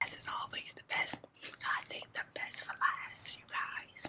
This is always the best, so I save the best for last, you guys.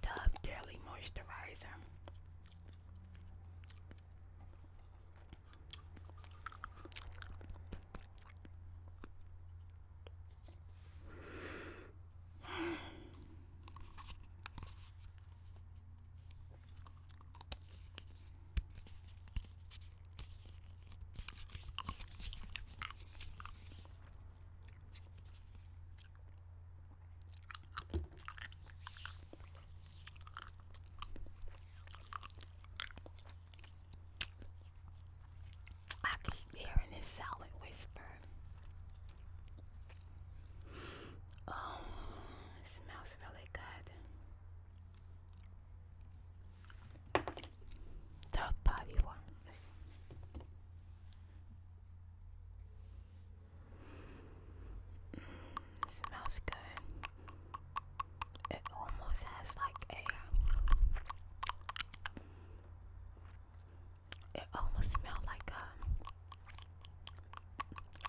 Dove daily Moisturizer. I keep hearing this silent whisper. Oh, smells really good. Third party one. It smells good. It almost has like a. It almost smells like a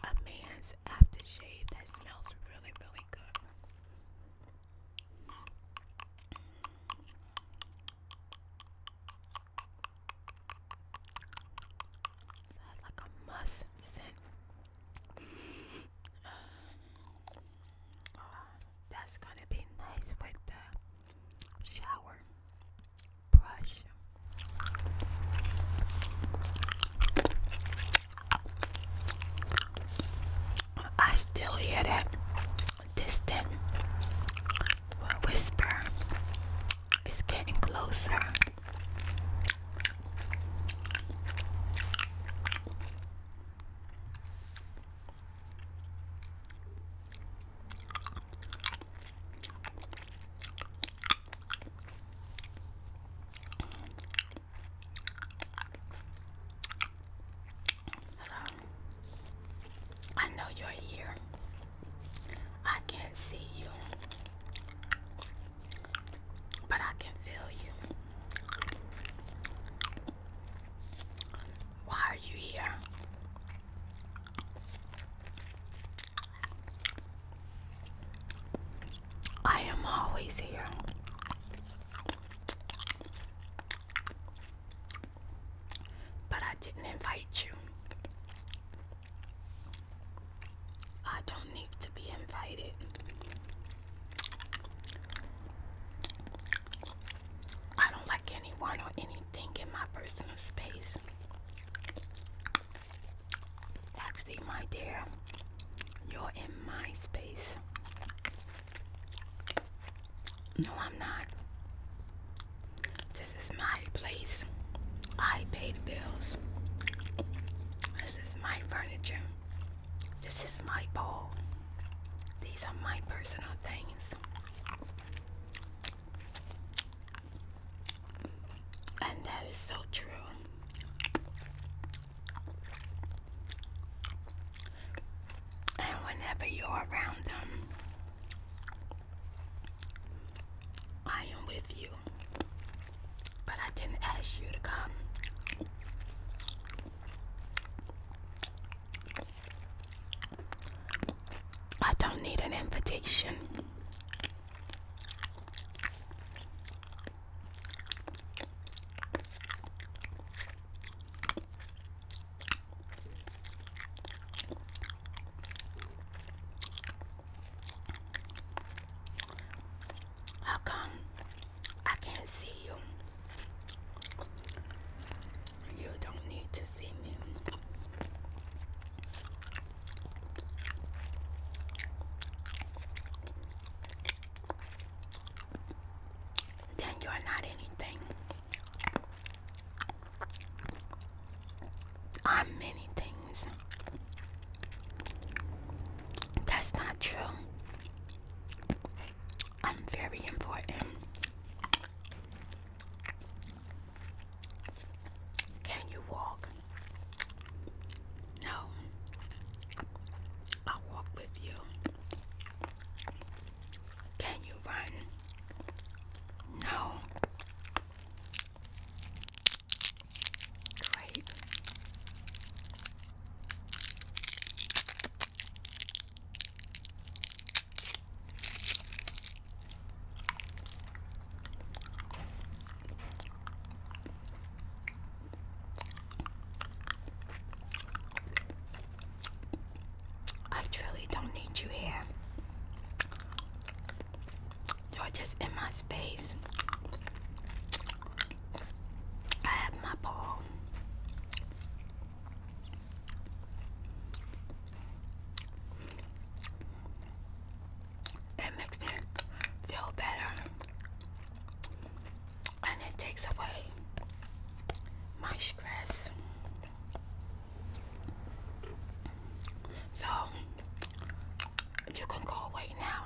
um, a man's aftershave that smells really really good. So like a must scent. Uh, that's gonna be nice with the shower brush. I still hear that distant whisper it's getting closer. I know you're here. I can't see you, but I can feel you. Why are you here? I am always here. But I didn't invite you. I don't need to be invited. I don't like anyone or anything in my personal space. Actually, my dear, you're in my space. No, I'm not. This is my place. I pay the bills. This is my furniture. This is my ball. These are my personal things. And that is so true. And whenever you're around them, I am with you. But I didn't ask you to come. I don't need an invitation. How come I can't see you? You don't need to see me. Then you're not anything. I'm many things. That's not true. I'm very important. Can you walk? No. I'll walk with you. Can you run? No. Great. I truly don't need you here. You're just in my space. I have my ball. It makes me feel better and it takes away my stress. So you can go away now.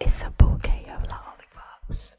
It's a bouquet of lollipops.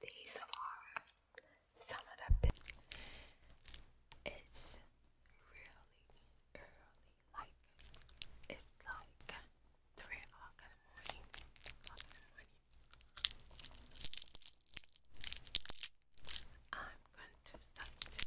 These are some of the. It's really early like it's like three o'clock in the morning. I'm going to start this blow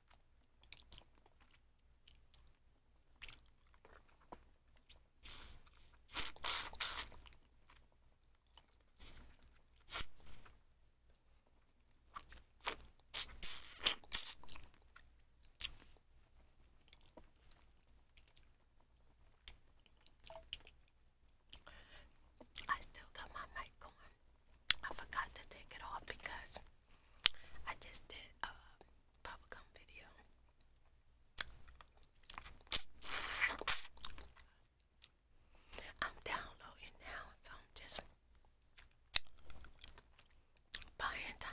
I still got my mic going. I forgot to take it off because I just did a bubblegum video. I'm downloading now, so I'm just buying time.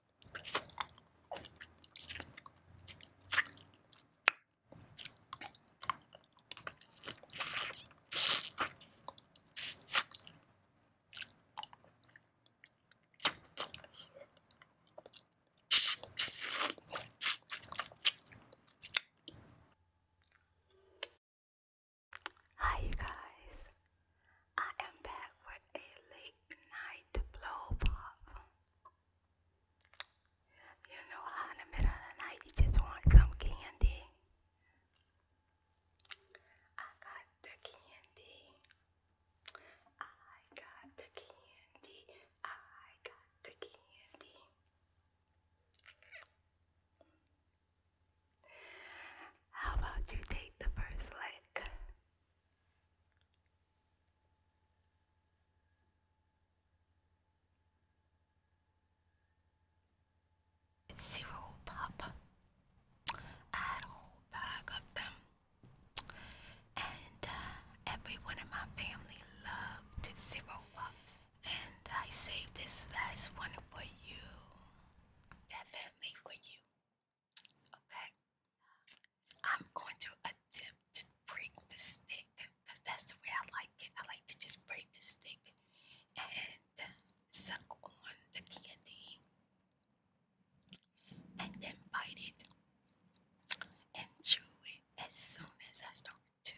Hi, you guys. I am back with a late night blow pop. You know how in the middle of the night just want some candy. I got the candy. I got the candy. I got the candy. How about you take the first lick? zero pop. I had a whole bag of them, and uh, everyone in my family loved zero pops. And I saved this last one for you, definitely for you. Okay. I'm going to attempt to break the stick because that's the way I like it. I like to just break the stick and suck on the candy and then bite it and chew it as soon as I start to.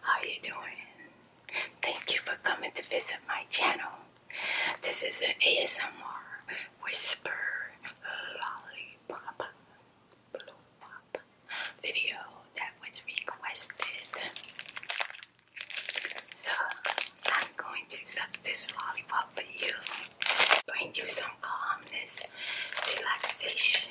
How you doing? Thank you for coming to visit my channel. This is an ASMR whisper lollipop blow video that was requested. So I'm going to suck this lollipop for you. Bring you some calmness, relaxation,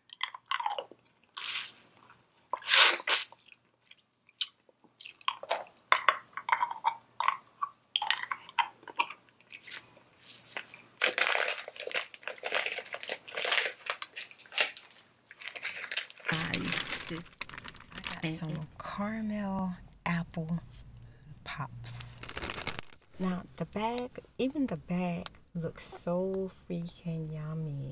I some caramel apple pops. Now the back, even the back, looks so freaking yummy.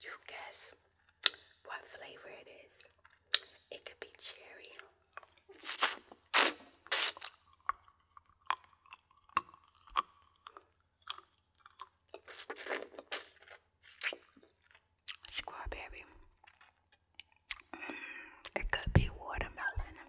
You guess what flavor it is. It could be cherry. Squad mm, It could be watermelon.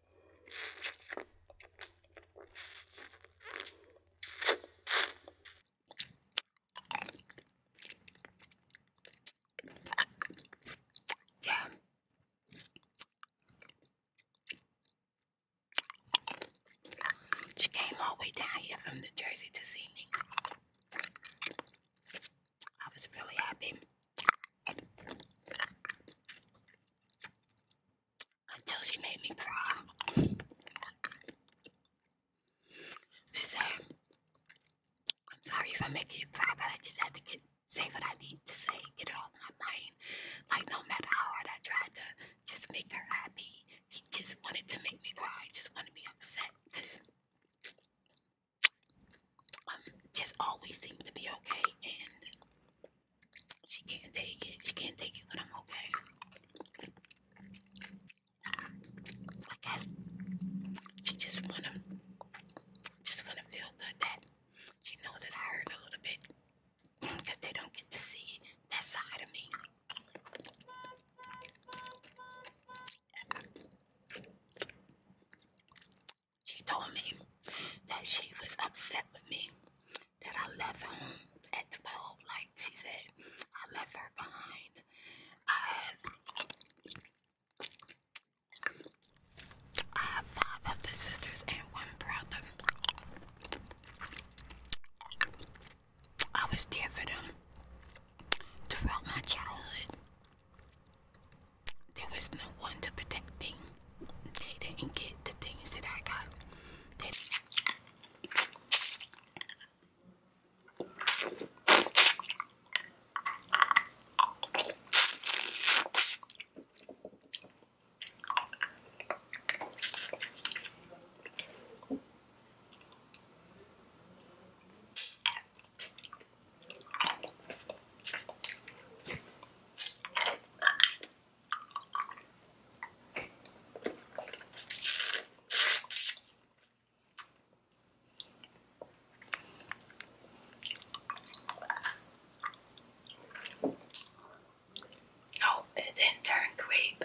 Yeah. She came all the way down here from New Jersey to see me. I was really happy until she made me cry. She said, I'm sorry if I'm you cry, but I just had to get say what I need to say, get it off my mind. Like no matter how hard I tried to just make her happy, she just wanted to make me cry, just wanted me upset, because um just always seemed to be okay and she can't take it. She can't take it, but I'm okay. I guess she just wanna, just wanna feel good that she know that I hurt a little bit, because they don't get to see that side of me. She told me that she was upset with me that I left home at 12. Like she said, I left her behind. I have, five of sisters and one brother. I was there for them throughout my childhood. There was no one to protect me they didn't get the things that I got. No, oh, it didn't turn grape.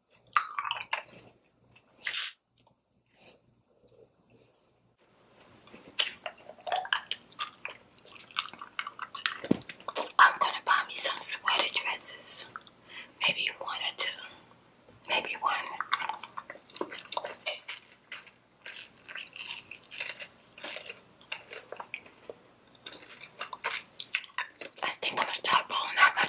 I'm gonna buy me some sweater dresses. Maybe one or two. Maybe one. I think I'm gonna start rolling out my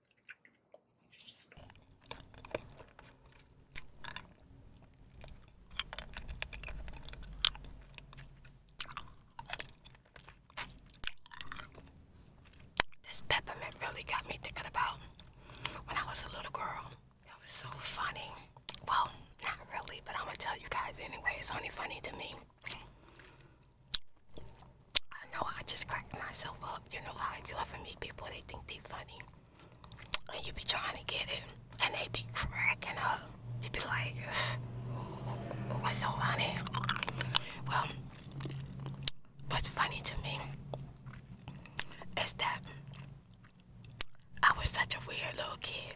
This peppermint really got me thinking about when I was a little girl. It was so funny. Well, not really, but I'm gonna tell you guys anyway. It's only funny to me. I know I just cracked myself up. You know how you ever meet people, they think they are funny and you be trying to get it, and they be cracking up. You be like, what's so funny? Well, what's funny to me is that I was such a weird little kid.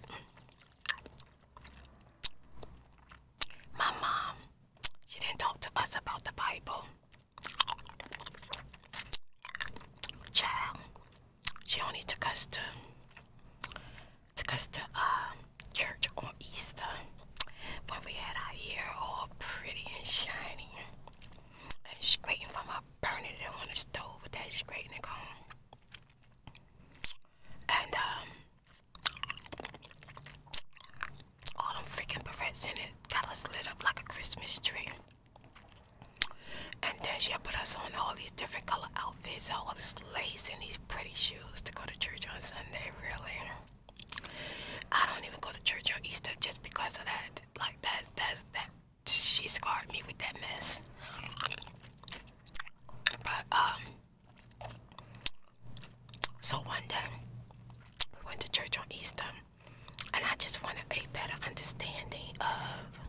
My mom, she didn't talk to us about the Bible. Child, she only took us to took us to uh, church on Easter when we had our hair all pretty and shiny and scraping from her burning it on the stove with that scraping cone And um all them freaking berets in it got us lit up like a Christmas tree. And then she put us on all these different color outfits, all this lace and these pretty shoes to go to church on Sunday, really. I don't even go to church on Easter just because of that. Like that's that's that she scarred me with that mess. But um so one day we went to church on Easter and I just want a better understanding of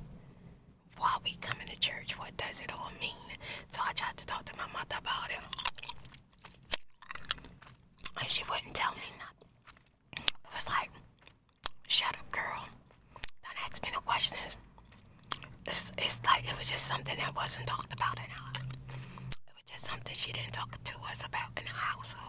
why we come into church. What does it all mean? So I tried to talk to my mother about it. And she wouldn't tell me nothing. It was like, shut up, girl. Don't ask me no questions. It's, it's like it was just something that wasn't talked about in our It was just something she didn't talk to us about in the household.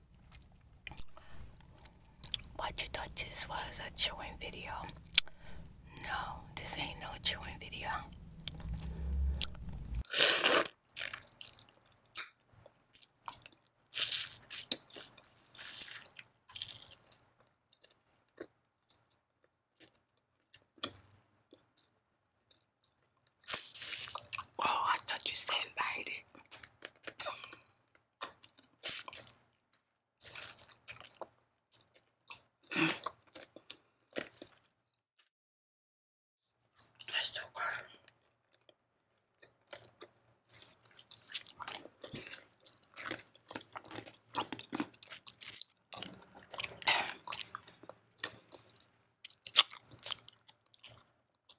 What you thought this was a chewing video? No, this ain't no chewing video. Oh, I thought you said invited. Mm. That's so good.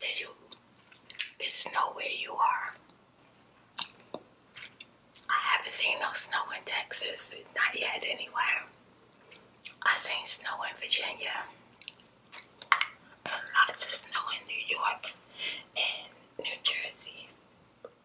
Did you? There's snow where you are. I haven't seen no snow in Texas, not yet anywhere. I seen snow in Virginia, and lots of snow in New York and New Jersey.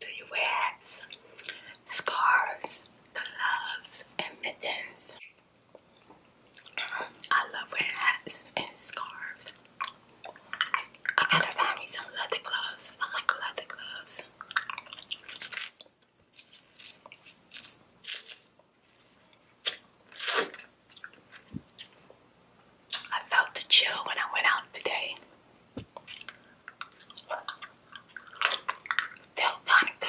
Do you wear hats, scarves, gloves, and mittens? I love wearing hats and scarves. I gotta find me some leather gloves. I like leather gloves. I felt the chill when I went out today. Felt kind good.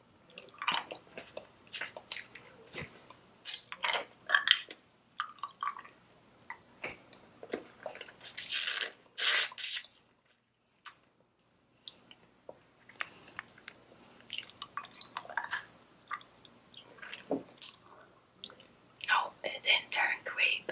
No, oh, it didn't turn grape.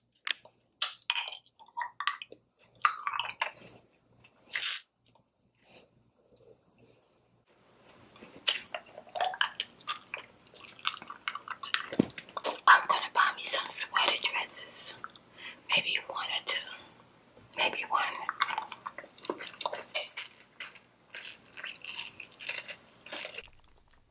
I'm gonna buy me some sweater dresses. Maybe one or two. Maybe one.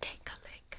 Take a lick.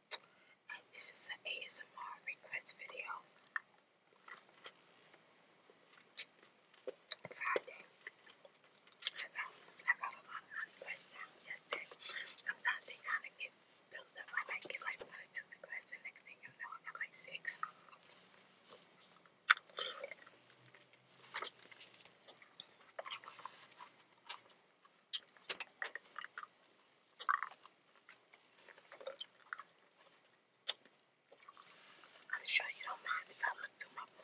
Uh, this is an ASMR request video. Friday. I know I wrote a lot of requests down Sometimes they kind of get built up. I might get like one or two requests, and next thing you know, I got like six. I'm sure you don't mind if I look through my book.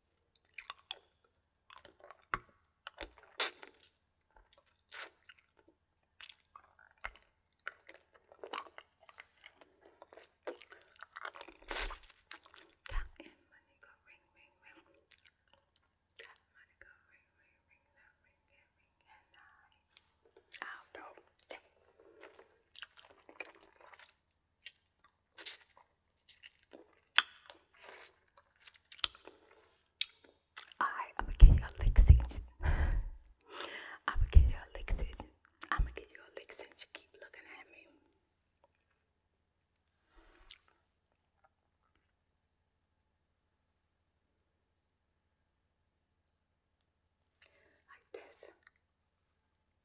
That and money go ring, ring, ring. That money go ring, ring, ring. That ring, that ring, and I. I'll throw that. Alright, I'm gonna give you a lick session. I'm gonna give you a lick session. I'm gonna give you a lick since you keep looking at me. Like this.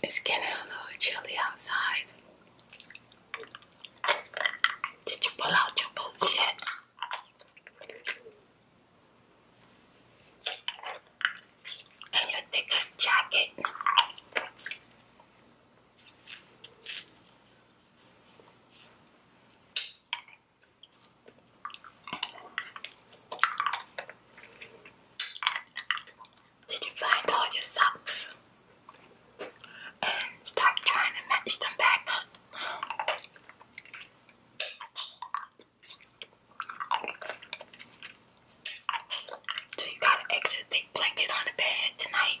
It's getting a little chilly outside. Did you pull out your bullshit? And your thicker jacket. Did you find all your socks and start trying to match them back So you got an extra thick blanket on the bed tonight?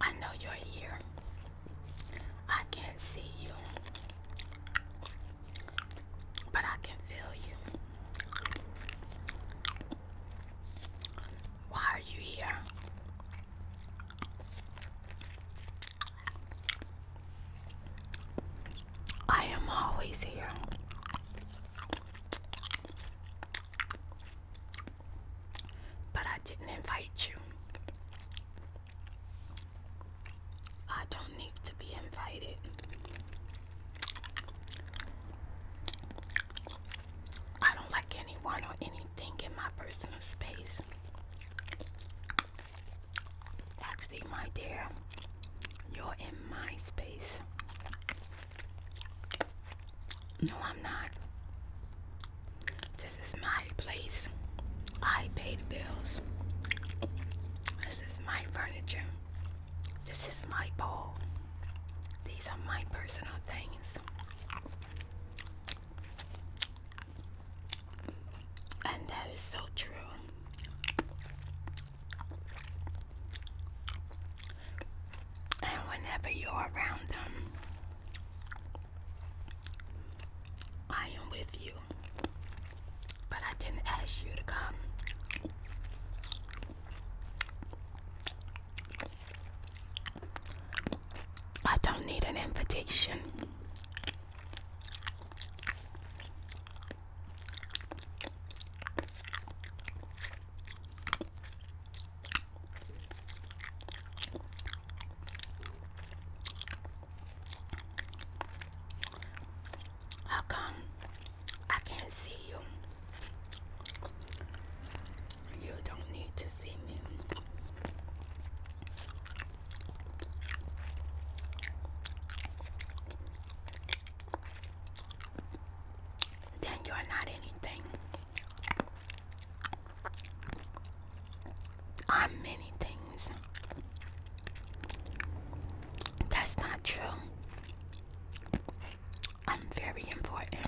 I know you're here. I can't see you. But I can feel you. Why are you here? I am always here. But I didn't invite you. I don't need to be invited. I don't like anyone or anything in my personal space. Actually, my dear, you're in my space. No, I'm not. This is my place. I pay the bills. This is my furniture. This is my bowl. These are my personal things. And that is so true. And whenever you're around them, I am with you. But I didn't ask you to come. I don't need an invitation. How I can't see you? You don't need to see me. Then you're not anything. I'm many things. That's not true. I'm very important.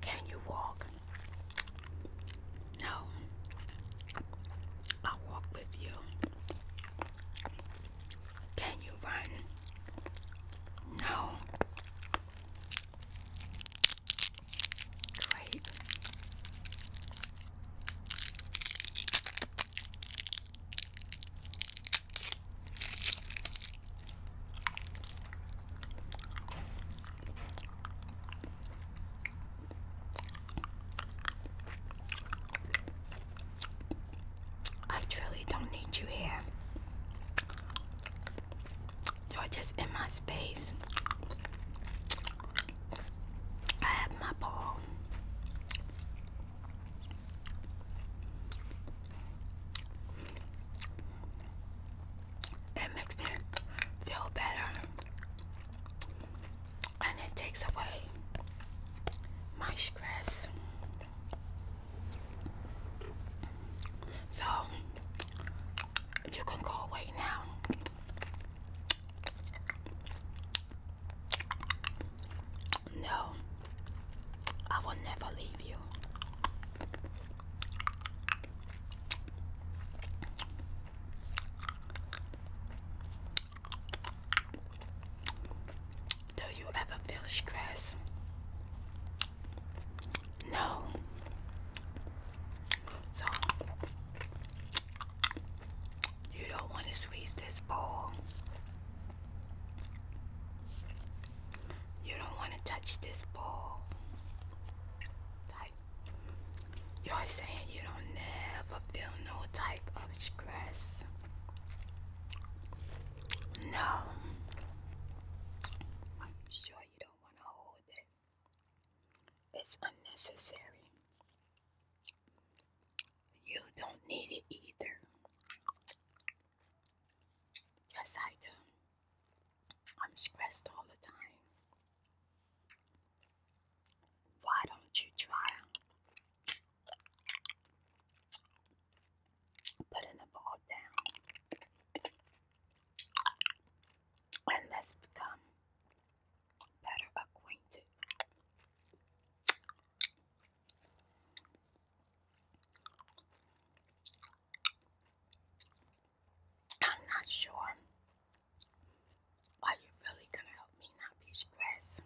Can you walk? No. I'll walk with you. Can you run? No. Great. I truly don't need you here. You're just in my space. I have my ball. It makes me feel better and it takes away my stress. So you can go away now. No, I will never leave you. Do you ever feel stress? No. So you don't want to squeeze this bowl. You don't want to touch this bowl. you're saying you don't never feel no type of stress. No. I'm sure you don't don't want to hold it. It's unnecessary. You don't need it either. Yes, I do. I'm stressed all the time. Why don't you try? putting the ball down. And let's become better acquainted. I'm not sure. Are you really going to help me not be stressed?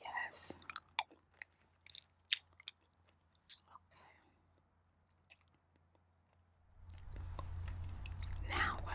Yes. Okay. Now what?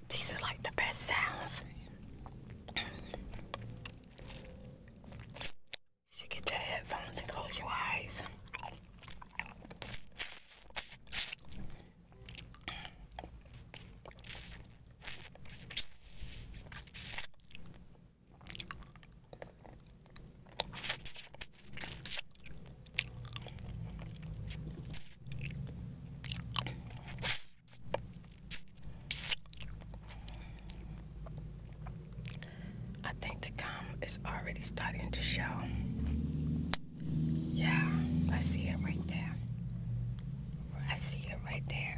These are like the best sounds. you should get your headphones and close your eyes. I think the gum is already starting to show. Yeah, I see it right there. I see it right there.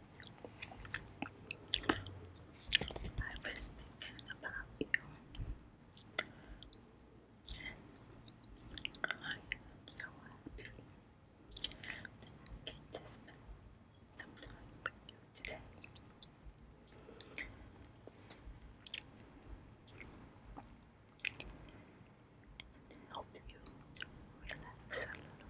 I was thinking about you. And I am so happy that just spend some with you today. And help you relax a little.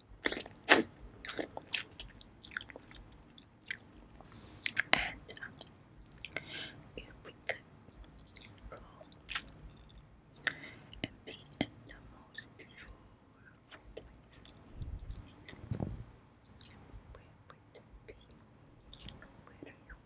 And um, if we could go and be in the most beautiful place, where would be? Where do you want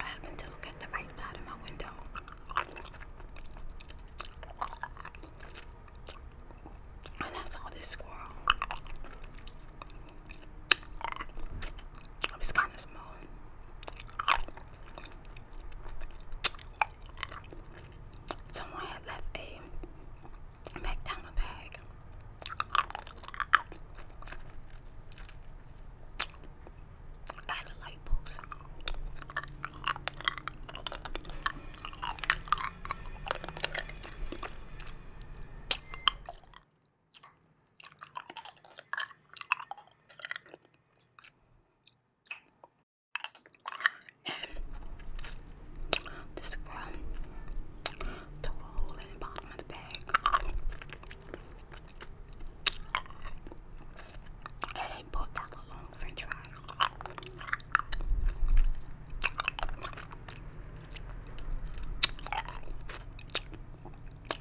I happen to look at the right side of my window. And I saw this squirrel. It kind of small. Someone had left a McDonald's bag. I had a light bulb, And this girl threw a hole in the bottom of the bag. Hey, put that along french fry.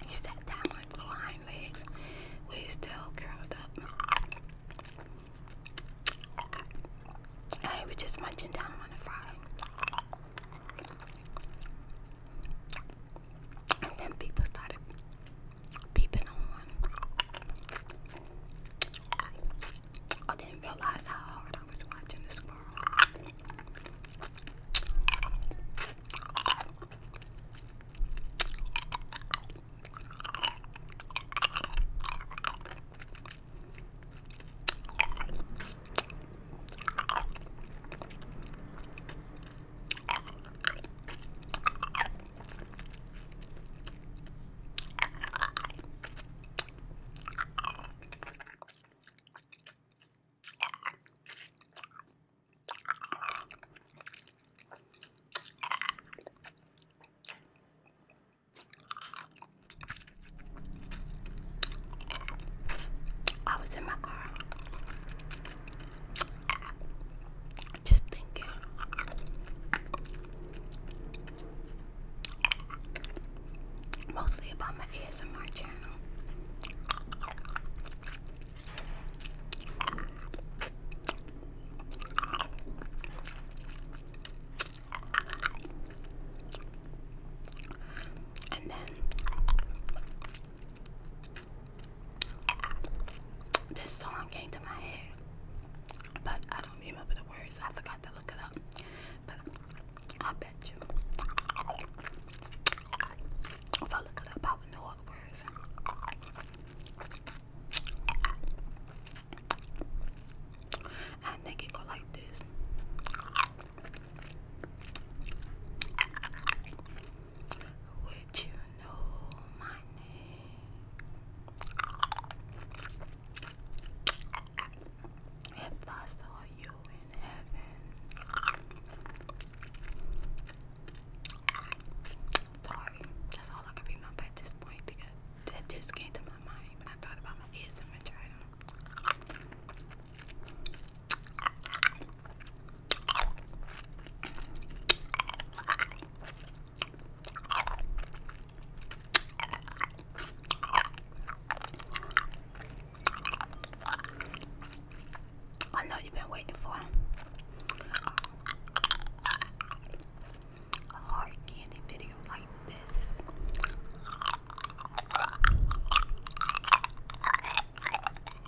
He sat down on little hind legs with his tail curled up. And he was just munching down on the fry. And then people started peeping on. I didn't realize how hard I was watching the squirrel. I was in my car just thinking. Mostly about my ASMR channel. And then this song came to my head, but I don't remember the words. I forgot to look it up. But I bet you, if I look it up, I would know all the words. I think it go like this. Would you know my name? If I saw you in heaven. Sorry, that's all I can remember at this point because that just came to my mind when I thought about my ears and my trident. I know you've been waiting for a hard candy video like this.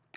Which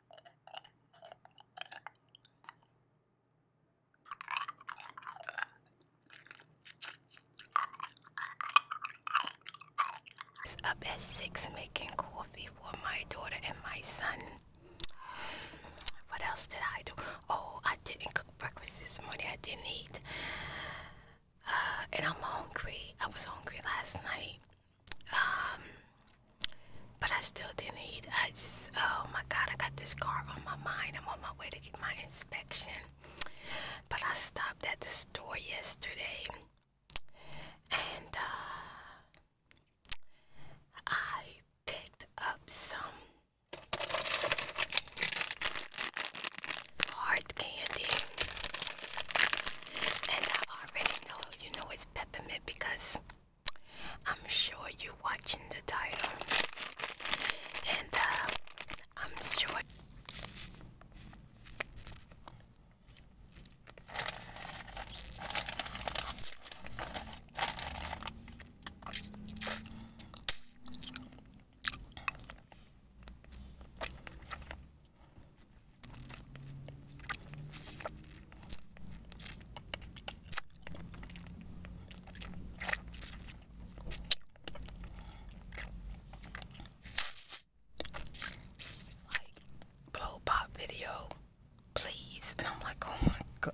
up at six making coffee for my daughter and my son. What else did I do? Oh, I didn't cook breakfast this morning. I didn't eat. Uh, and I'm hungry. I was hungry last night. Um, but I still didn't eat. I just, oh my God, I got this car on my mind. I'm on my way to get my inspection. But I stopped at the store yesterday and uh, I picked up some hard candy. And I already know you know it's peppermint because I'm sure you're watching the title. And uh, I'm sure blow pop video, please. And I'm like, oh my god.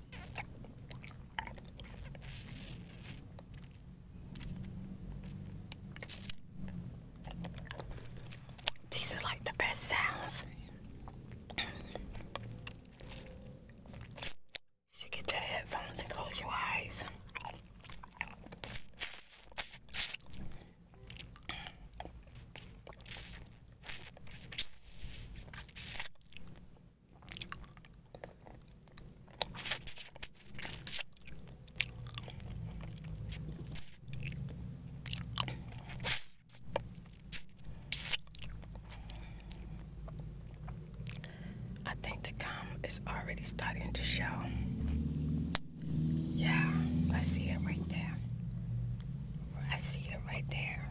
This is like the best sounds. you should get your headphones and close your eyes. I think the gum is already starting to show. Yeah, I see it right there. I see it right there.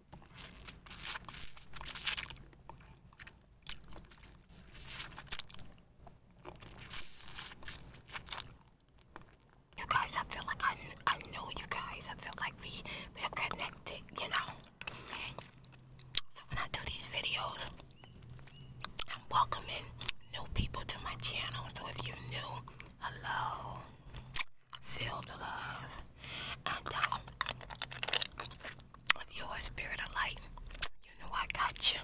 You guys, I feel like I, I know you guys. I feel like we, we're connected, you know? So when I do these videos, I'm welcoming new people to my channel. So if you're new, hello. Feel the love. And um, of your spirit of light. You know I got you.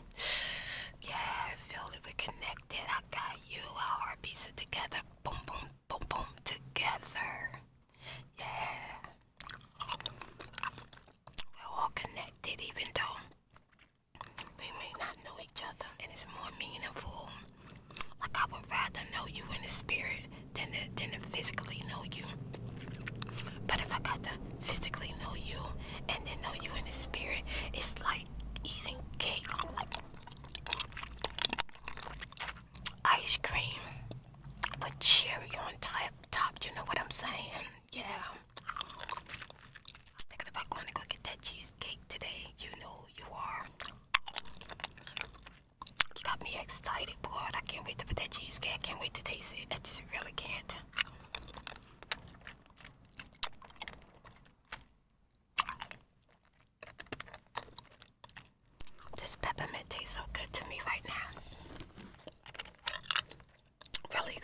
Yeah, I feel that we are connected. I got you. Our heartbeats are together. Boom, boom, boom, boom, together. Yeah. We're all connected, even though we may not know each other. And it's more meaningful. Like I would rather know you in the spirit than to, than to physically know you. But if I got to physically know you and then know you in the spirit, it's like eating cake, ice cream, but cherry on top. Top, you know what I'm saying? Yeah. Thinking about going to go get that cheesecake today. You know you are. You got me excited, boy. I can't wait to put that cheesecake. I can't wait to taste it. I just really can't. This peppermint tastes so good to me right now. Really good.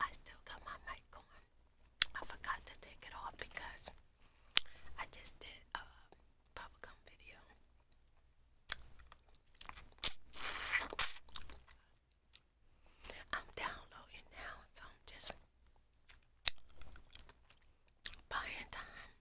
I still got my mic going. I forgot to take it off because I just did a bubblegum video. I'm downloading now, so I'm just buying time.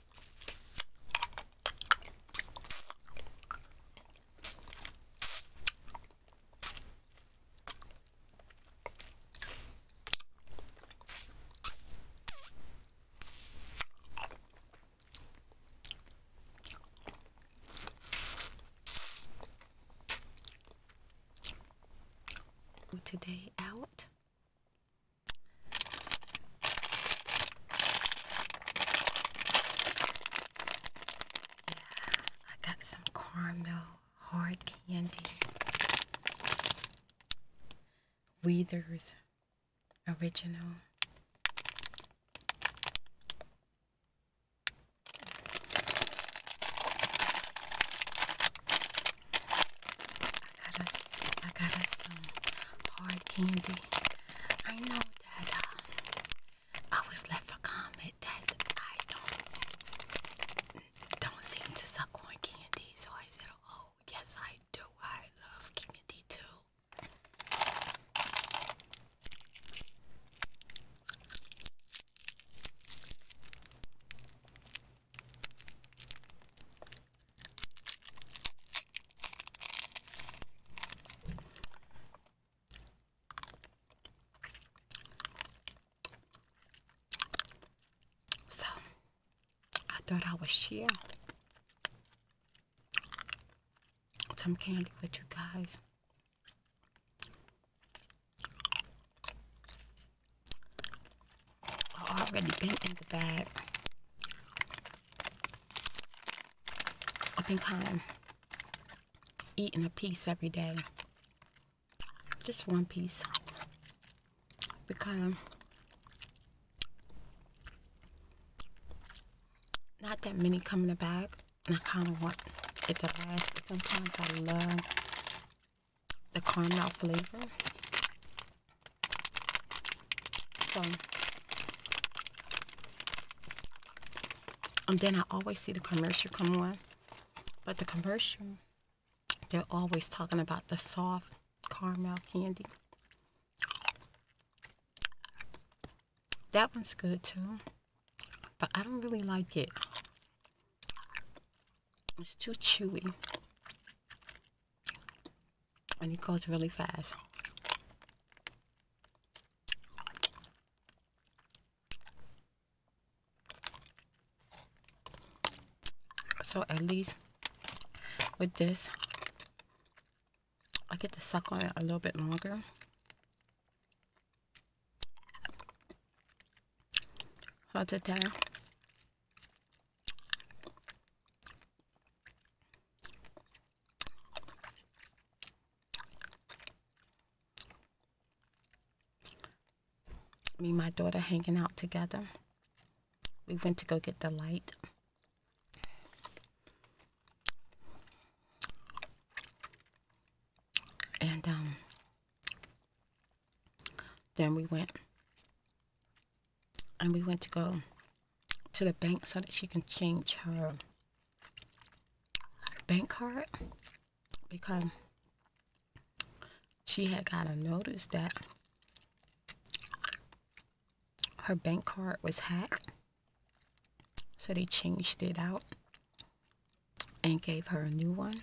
Today out I got some caramel hard candy. Weathers original. I got us I got us some hard candy. I know I was left a comment that I don't don't seem to suck on candy. So I said, "Oh, yes, I do. I love candy too." So I thought I would share some candy with you guys. I already been in the bag. I've been kind of eating a piece every day. Just one piece. Because not that many come in a bag. And I kind of want it to last. But sometimes I love the caramel flavor. So, and um, then I always see the commercial come on, but the commercial, they're always talking about the soft caramel candy. That one's good too, but I don't really like it. It's too chewy and it goes really fast. So at least with this, I get to suck on it a little bit longer. Hard to me and my daughter hanging out together. We went to go get the light. And um, then we went and we went to go to the bank so that she can change her bank card because she had got a notice that her bank card was hacked. So they changed it out and gave her a new one.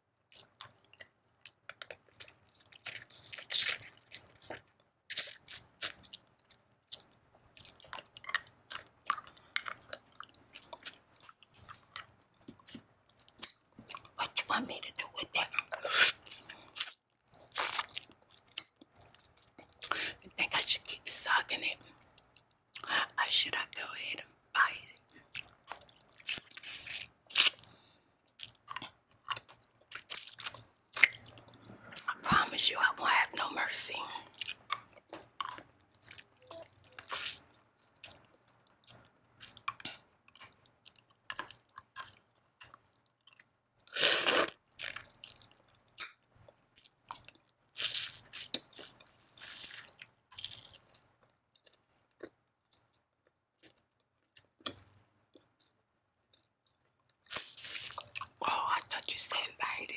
What you want me to do with that? You think I should keep sucking it? Or should I go ahead and bite it? I promise you I won't have no mercy. Oh, I thought you said invited.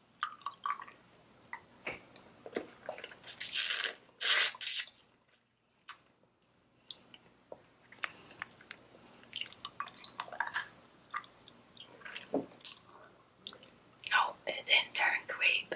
No, oh, it didn't turn grape.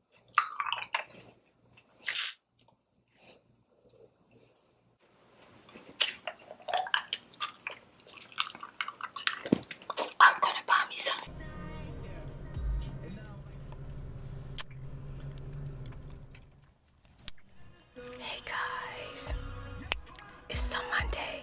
I'm gonna buy me some. Hey guys, it's on Monday.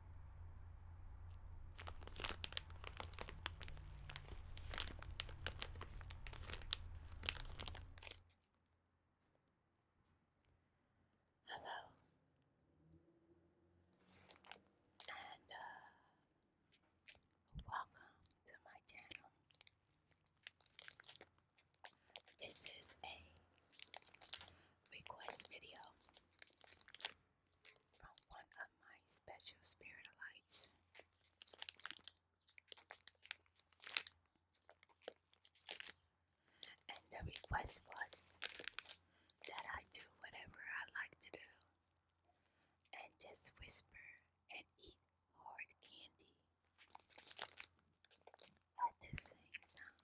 Hello, and uh, welcome to my channel. This is a request video from one of my special spiritolites. And the request was that I do whatever I like to do and just whisper and eat hard candy at the same time.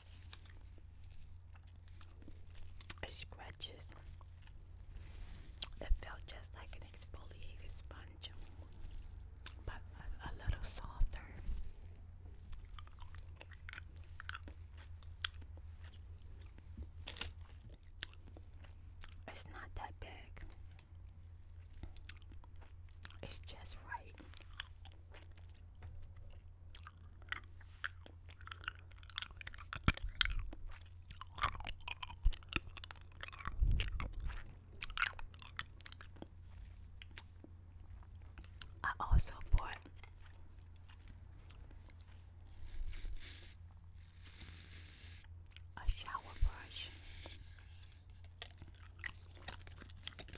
scratches. It felt just like an exfoliated sponge, but a little softer. It's not that big. It's just right. I also bought a shower brush.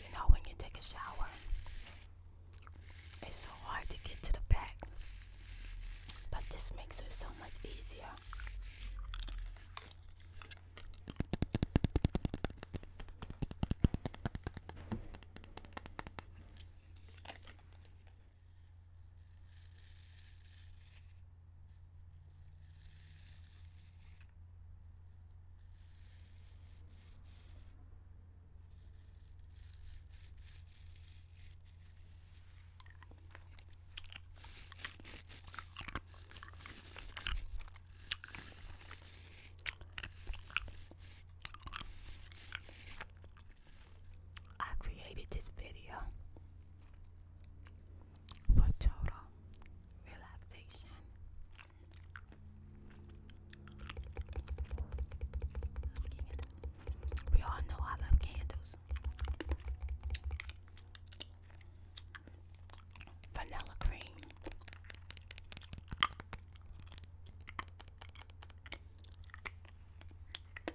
You know, when you take a shower, it's so hard to get to the back, but this makes it so much easier. I created this video for total relaxation. We all know I love candles. Vanilla cream.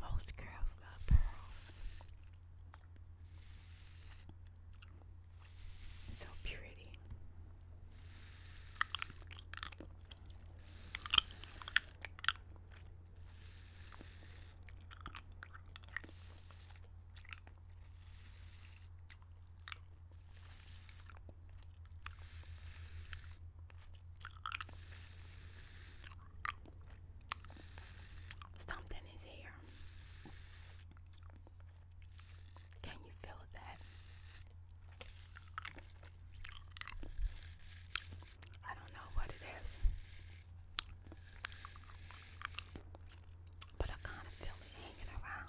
Most girls love pearls. So pretty. Something is here. Can you feel that? I don't know what it is, but I kind of feel it hanging around.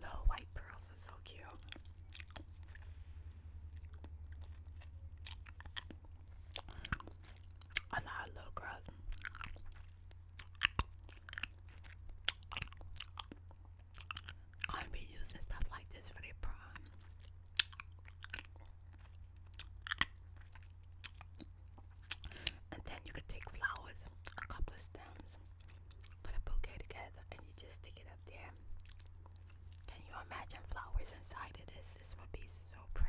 Little white pearls are so cute. A lot girls. Gonna be using stuff like this for their prom. And then you could take flowers, a couple of stems, put a bouquet together and you just stick it up there. Can you imagine flowers inside of this? This would be so pretty.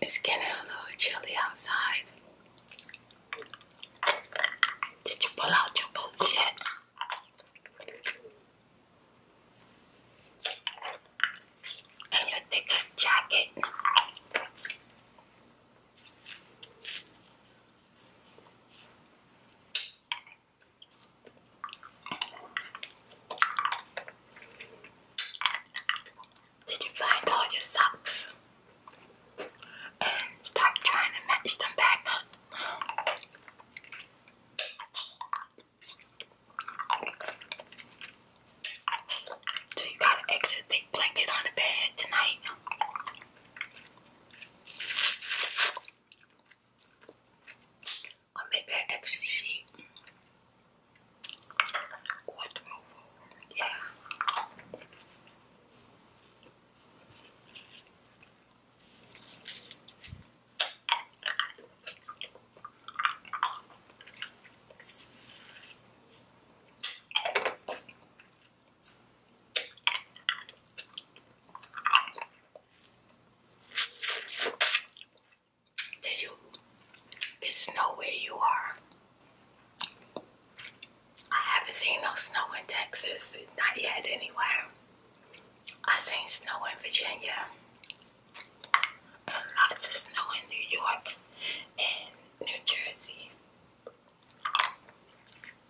It's getting a little chilly outside. Did you pull out your bullshit? And your thicker jacket? Did you find all your socks and start trying to match them back up? you got an extra thick blanket on the bed tonight? Or make I actually see what yeah. Did you? There's snow where you are. I haven't seen no snow in Texas, not yet anywhere. I seen snow in Virginia. And lots of snow in New York and New Jersey.